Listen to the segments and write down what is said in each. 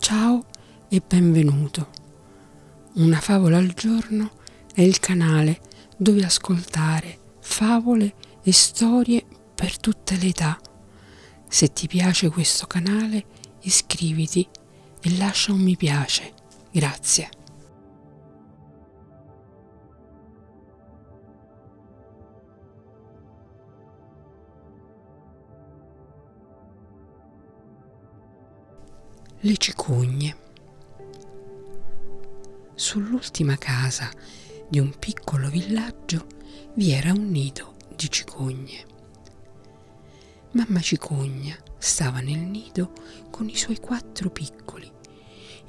Ciao e benvenuto. Una favola al giorno è il canale dove ascoltare favole e storie per tutte le età. Se ti piace questo canale iscriviti e lascia un mi piace. Grazie. Le cicogne. Sull'ultima casa di un piccolo villaggio vi era un nido di cicogne. Mamma cicogna stava nel nido con i suoi quattro piccoli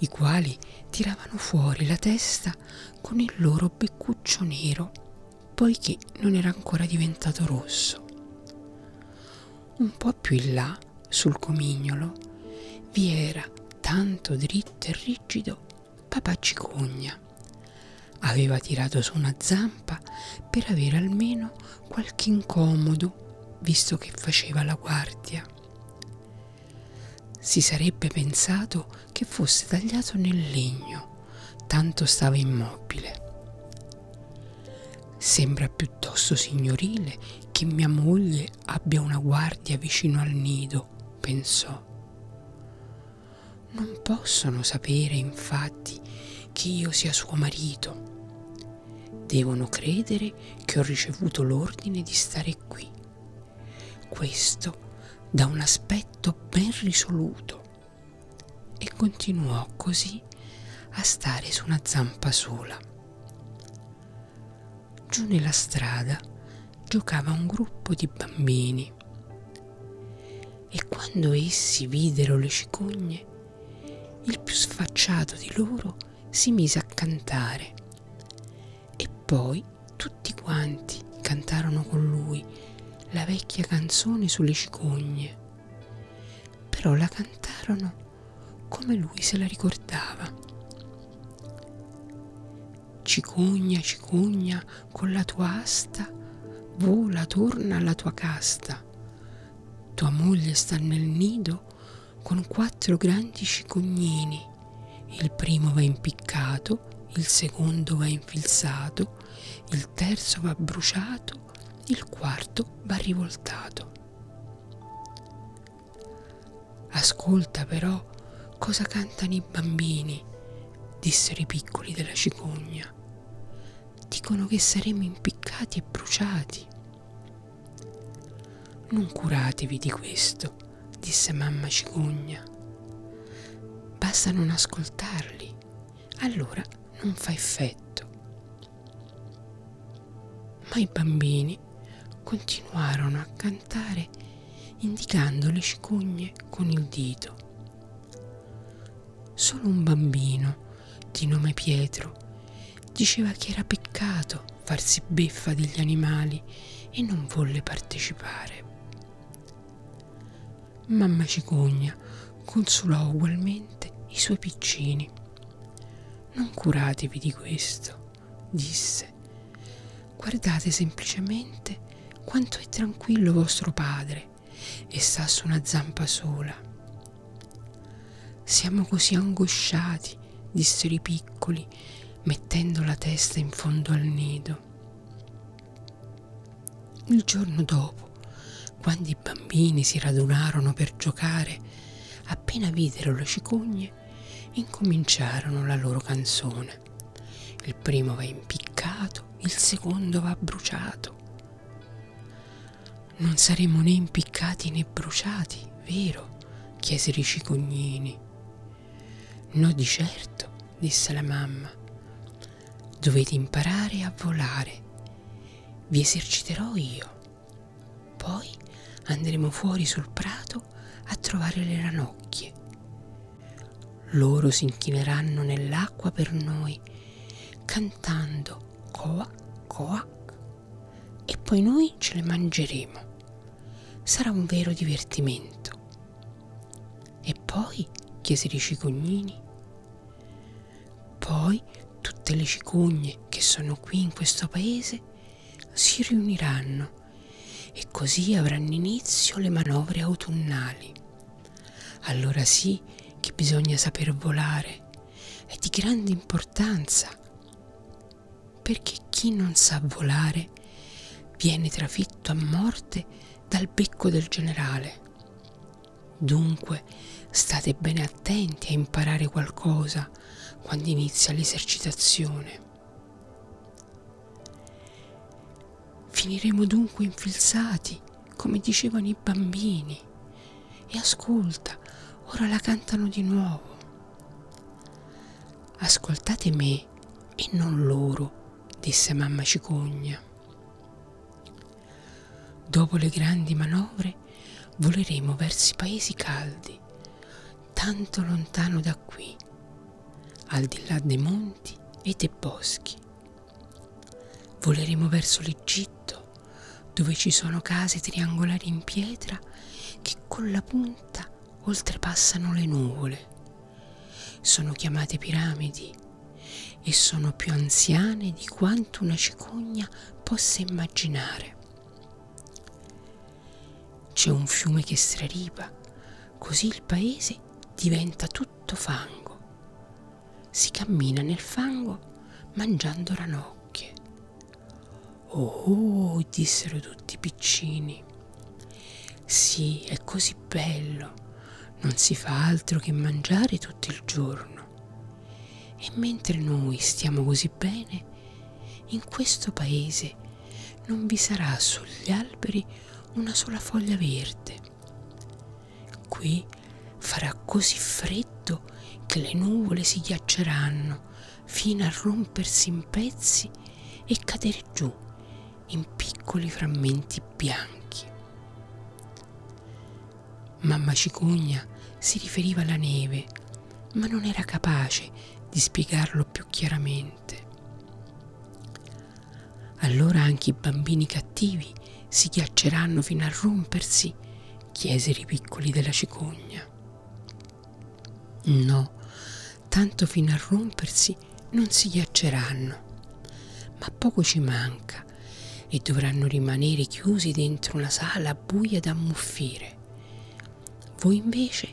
i quali tiravano fuori la testa con il loro beccuccio nero, poiché non era ancora diventato rosso. Un po' più in là, sul comignolo, vi era, tanto dritto e rigido, papà cicogna. Aveva tirato su una zampa per avere almeno qualche incomodo, visto che faceva la guardia. Si sarebbe pensato che fosse tagliato nel legno, tanto stava immobile. Sembra piuttosto signorile che mia moglie abbia una guardia vicino al nido, pensò. Non possono sapere, infatti, che io sia suo marito. Devono credere che ho ricevuto l'ordine di stare qui questo da un aspetto ben risoluto e continuò così a stare su una zampa sola. Giù nella strada giocava un gruppo di bambini e quando essi videro le cicogne, il più sfacciato di loro si mise a cantare e poi tutti quanti cantarono con lui la vecchia canzone sulle cicogne, però la cantarono come lui se la ricordava. Cicogna, cicogna, con la tua asta, vola, torna alla tua casta. Tua moglie sta nel nido, con quattro grandi cicognini. Il primo va impiccato, il secondo va infilzato, il terzo va bruciato, il quarto va rivoltato. Ascolta però cosa cantano i bambini, dissero i piccoli della cicogna. Dicono che saremo impiccati e bruciati. Non curatevi di questo, disse mamma cicugna. Basta non ascoltarli, allora non fa effetto. Ma i bambini continuarono a cantare indicando le cicugne con il dito. Solo un bambino di nome Pietro diceva che era peccato farsi beffa degli animali e non volle partecipare. Mamma cicogna consolò ugualmente i suoi piccini. Non curatevi di questo, disse. Guardate semplicemente quanto è tranquillo vostro padre e sta su una zampa sola. Siamo così angosciati, dissero i piccoli, angoli, mettendo la testa in fondo al nido. Il giorno dopo, quando i bambini si radunarono per giocare, appena videro le cicogne, incominciarono la loro canzone. Il primo va impiccato, il secondo va bruciato. Non saremo né impiccati né bruciati, vero? chiesero i cicognini. No di certo, disse la mamma. Dovete imparare a volare. Vi eserciterò io. Poi andremo fuori sul prato a trovare le ranocchie. Loro si inchineranno nell'acqua per noi, cantando coac coac e poi noi ce le mangeremo. Sarà un vero divertimento. E poi? chiesero i cicognini. Poi tutte le cicogne che sono qui in questo paese si riuniranno e così avranno inizio le manovre autunnali. Allora sì che bisogna saper volare, è di grande importanza perché chi non sa volare viene trafitto a morte dal becco del generale. Dunque state bene attenti a imparare qualcosa quando inizia l'esercitazione. Finiremo dunque infilzati, come dicevano i bambini. E ascolta, ora la cantano di nuovo. Ascoltate me e non loro, disse mamma cicogna. Dopo le grandi manovre voleremo verso i paesi caldi, tanto lontano da qui, al di là dei monti e dei boschi. Voleremo verso l'Egitto, dove ci sono case triangolari in pietra che con la punta oltrepassano le nuvole, sono chiamate piramidi e sono più anziane di quanto una cicogna possa immaginare. C'è un fiume che straripa, così il paese diventa tutto fango. Si cammina nel fango mangiando ranocchie. Oh, oh, dissero tutti i piccini. Sì, è così bello. Non si fa altro che mangiare tutto il giorno. E mentre noi stiamo così bene, in questo paese non vi sarà sugli alberi una sola foglia verde. Qui farà così freddo che le nuvole si ghiacceranno fino a rompersi in pezzi e cadere giù in piccoli frammenti bianchi. Mamma Cicogna si riferiva alla neve, ma non era capace di spiegarlo più chiaramente. Allora anche i bambini cattivi si ghiacceranno fino a rompersi, chiesero i piccoli della cicogna. No, tanto fino a rompersi non si ghiacceranno, ma poco ci manca e dovranno rimanere chiusi dentro una sala buia da ammuffire. Voi invece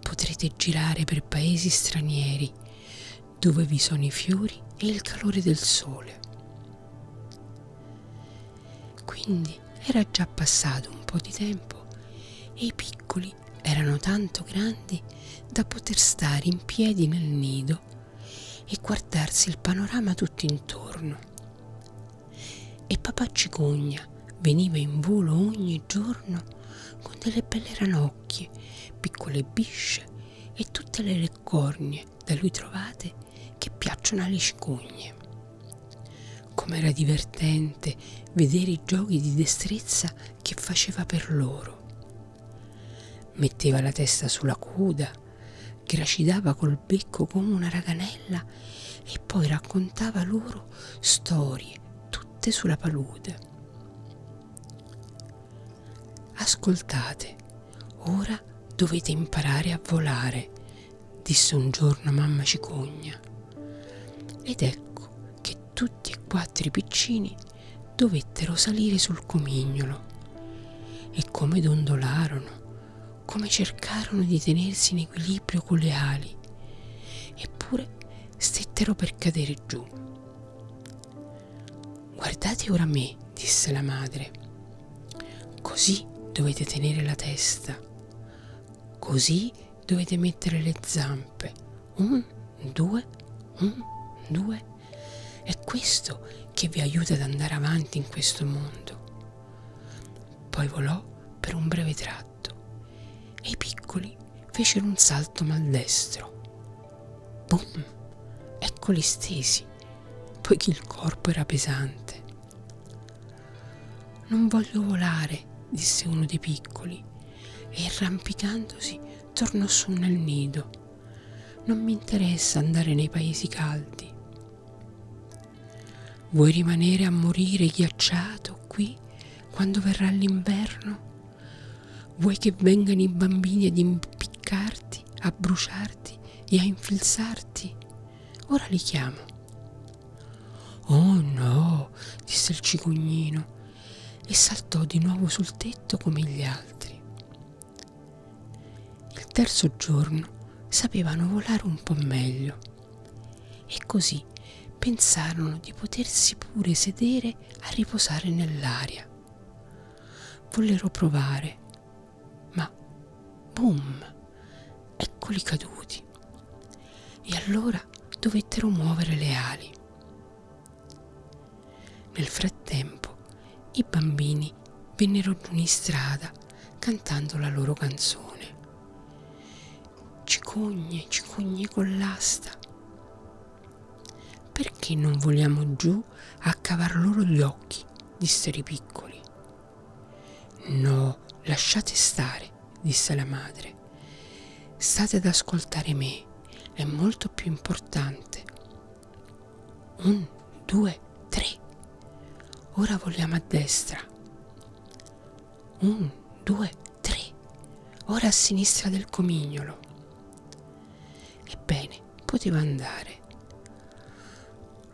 potrete girare per paesi stranieri dove vi sono i fiori e il calore del sole. Quindi grandi era già passato un po' di tempo e i piccoli erano tanto grandi da poter stare in piedi nel nido e guardarsi il panorama tutto intorno. E papà Cicogna veniva in volo ogni giorno con delle belle ranocchie, piccole bisce e tutte le cornie da lui trovate che piacciono alle cicogne. Com'era divertente vedere i giochi di destrezza che faceva per loro. Metteva la testa sulla coda, gracidava col becco come una raganella e poi raccontava loro storie tutte sulla palude. Ascoltate, ora dovete imparare a volare, disse un giorno mamma cicogna. Ed ecco che tutti e quattro i piccini dovettero salire sul comignolo e come dondolarono, come cercarono di tenersi in equilibrio con le ali, eppure stettero per cadere giù. Guardate ora me, disse la madre. Così dovete tenere la testa, Così dovete mettere le zampe. Un, due, un, due. È questo che vi aiuta ad andare avanti in questo mondo. Poi volò per un breve tratto e i piccoli fecero un salto maldestro. Bum! Eccoli stesi, poiché il corpo era pesante. Non voglio volare, disse uno dei piccoli, e arrampicandosi tornò su nel nido. Non mi interessa andare nei paesi caldi. Vuoi rimanere a morire ghiacciato qui quando verrà l'inverno? Vuoi che vengano i bambini ad impiccarti, a bruciarti e a infilzarti? Ora li chiamo. Oh no, disse il cicognino e saltò di nuovo sul tetto come gli altri. Il terzo giorno sapevano volare un po' meglio e così pensarono di potersi pure sedere a riposare nell'aria. Vollero provare, ma boom! Eccoli caduti. E allora dovettero muovere le ali. Nel frattempo i bambini vennero giù in strada cantando la loro canzone. Cicogne, cicogne con l'asta. Perché non voliamo giù a cavar loro gli occhi? dissero i piccoli. No, lasciate stare, disse la madre. State ad ascoltare me, è molto più importante. Un, due, tre. Ora vogliamo a destra. Un, due, tre. Ora a sinistra del comignolo. Ebbene, poteva andare.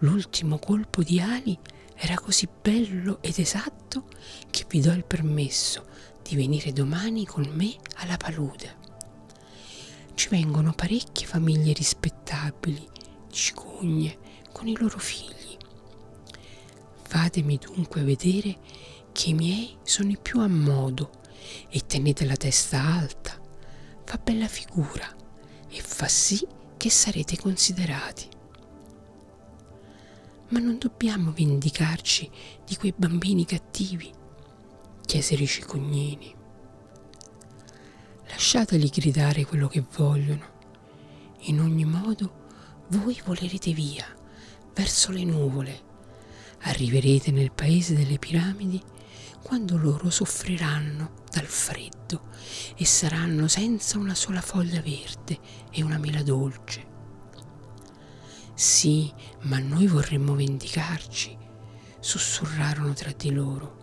L'ultimo colpo di ali era così così bello ed esatto che vi do il permesso di venire domani con me alla palude. Ci vengono parecchie famiglie rispettabili di cicugne con i loro figli. Fatemi dunque vedere che i miei sono i più a modo e tenete la testa alta, fa bella figura e fa sì che sarete considerati. Ma non dobbiamo vendicarci di quei bambini cattivi, chiesero i cicognini. Lasciateli gridare quello che vogliono. In ogni modo voi volerete via, verso le nuvole. Arriverete nel paese delle piramidi quando loro soffriranno dal freddo e saranno senza una sola foglia verde dolce e una mela dolce. Sì, ma noi vorremmo vendicarci, sussurrarono tra di loro.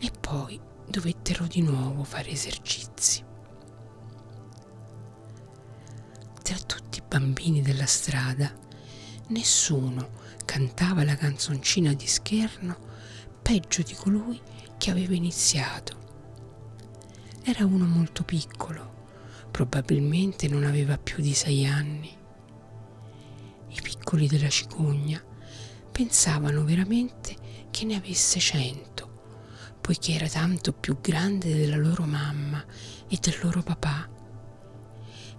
E poi dovettero di nuovo fare esercizi. Tra tutti i bambini della strada, nessuno cantava la canzoncina di scherno peggio di colui che aveva iniziato. Era uno molto piccolo, probabilmente non aveva più di sei anni. I piccoli della cicogna pensavano veramente che ne avesse cento, poiché era tanto più grande della loro mamma e del loro papà.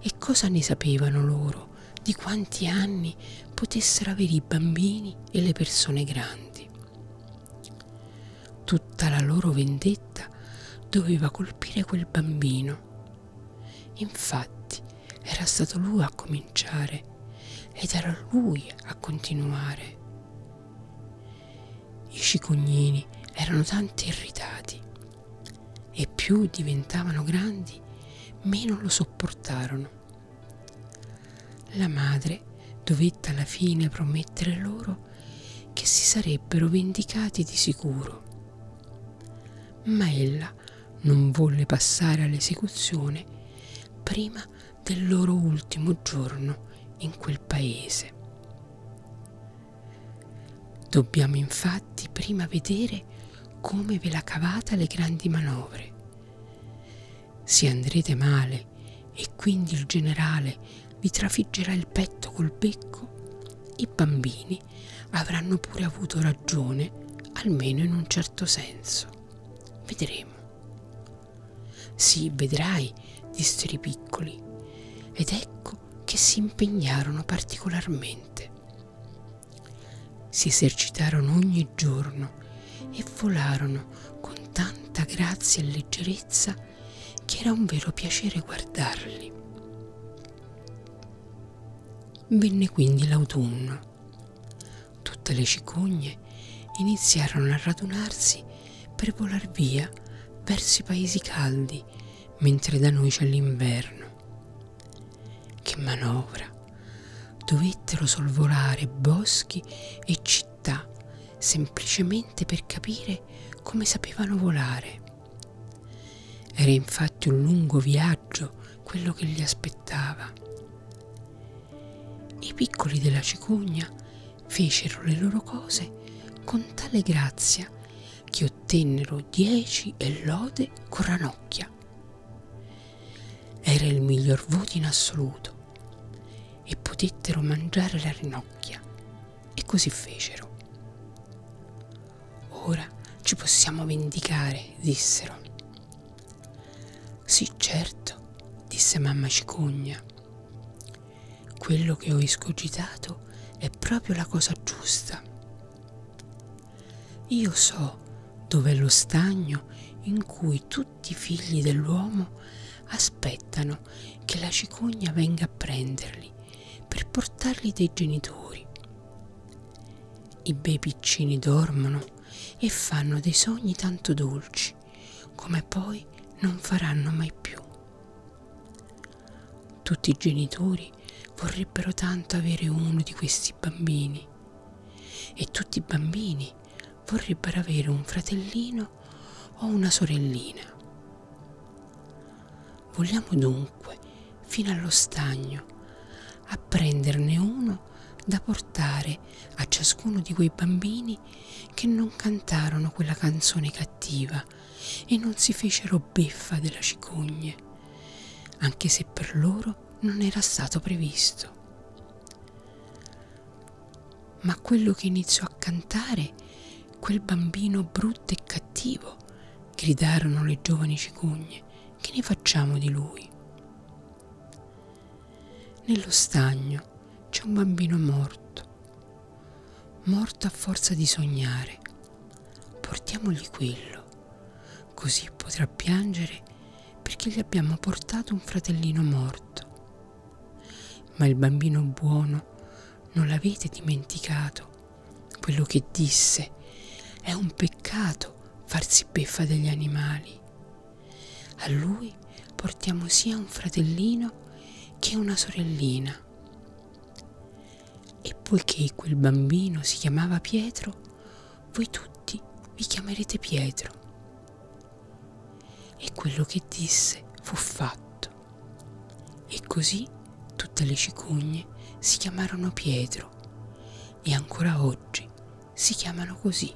E cosa ne sapevano loro di quanti anni potessero avere i bambini e le persone grandi? Tutta la loro vendetta doveva colpire quel bambino. Infatti era stato lui a cominciare ed era lui a continuare. I cicognini erano tanti irritati e più diventavano grandi meno lo sopportarono la madre dovette alla fine promettere loro che si sarebbero vendicati di sicuro, ma ella non volle passare all'esecuzione prima del loro ultimo giorno in quel paese. Dobbiamo infatti prima vedere come ve la cavata le grandi manovre se andrete male e quindi il generale vi trafiggerà il petto col becco, i bambini avranno pure avuto ragione, almeno in un certo senso. Vedremo. Sì, vedrai, dissero i piccoli, ed ecco che si impegnarono particolarmente. Si esercitarono ogni giorno piano e volarono con tanta grazia e leggerezza che era un vero piacere guardarli. Venne quindi l'autunno. Tutte le cicogne iniziarono a radunarsi per volar via verso i paesi caldi, mentre da noi c'è l'inverno. Che manovra! Dovettero sorvolare boschi e città città semplicemente per capire come sapevano volare. Era infatti un lungo viaggio quello che li aspettava. I piccoli della cicogna fecero le loro cose con tale grazia che ottennero dieci e lode con ranocchia. Era il miglior voto in assoluto e potettero mangiare la rinocchia e così fecero. Ora ci possiamo vendicare, dissero. Sì, certo, disse mamma cicogna. Quello che ho escogitato è proprio la cosa giusta. Io so dov'è lo stagno in cui tutti i figli dell'uomo aspettano che la cicogna venga a prenderli per portarli dai genitori. I bei piccini dormono e fanno dei sogni tanto dolci come poi non faranno mai più. Tutti i genitori vorrebbero tanto avere uno di questi bambini e tutti i bambini vorrebbero avere un fratellino o una sorellina. Vogliamo dunque fino allo stagno a prenderne uno da portare a ciascuno di quei bambini che non cantarono quella canzone cattiva e non si fecero beffa della cicogne, anche se per loro non era stato previsto. Ma quello che iniziò a cantare, quel bambino brutto e cattivo, gridarono le giovani cicugne, che ne facciamo di lui? Nello stagno c'è un bambino morto, morto a forza di sognare. Portiamogli quello, così potrà piangere perché gli abbiamo portato un fratellino morto. Ma il bambino buono non l'avete dimenticato. Quello che disse è un peccato farsi beffa degli animali. A lui portiamo sia un fratellino che una sorellina. E poiché quel bambino si chiamava Pietro, voi tutti vi chiamerete Pietro. E quello che disse fu fatto. E così tutte le cicogne si chiamarono Pietro e ancora oggi si chiamano così.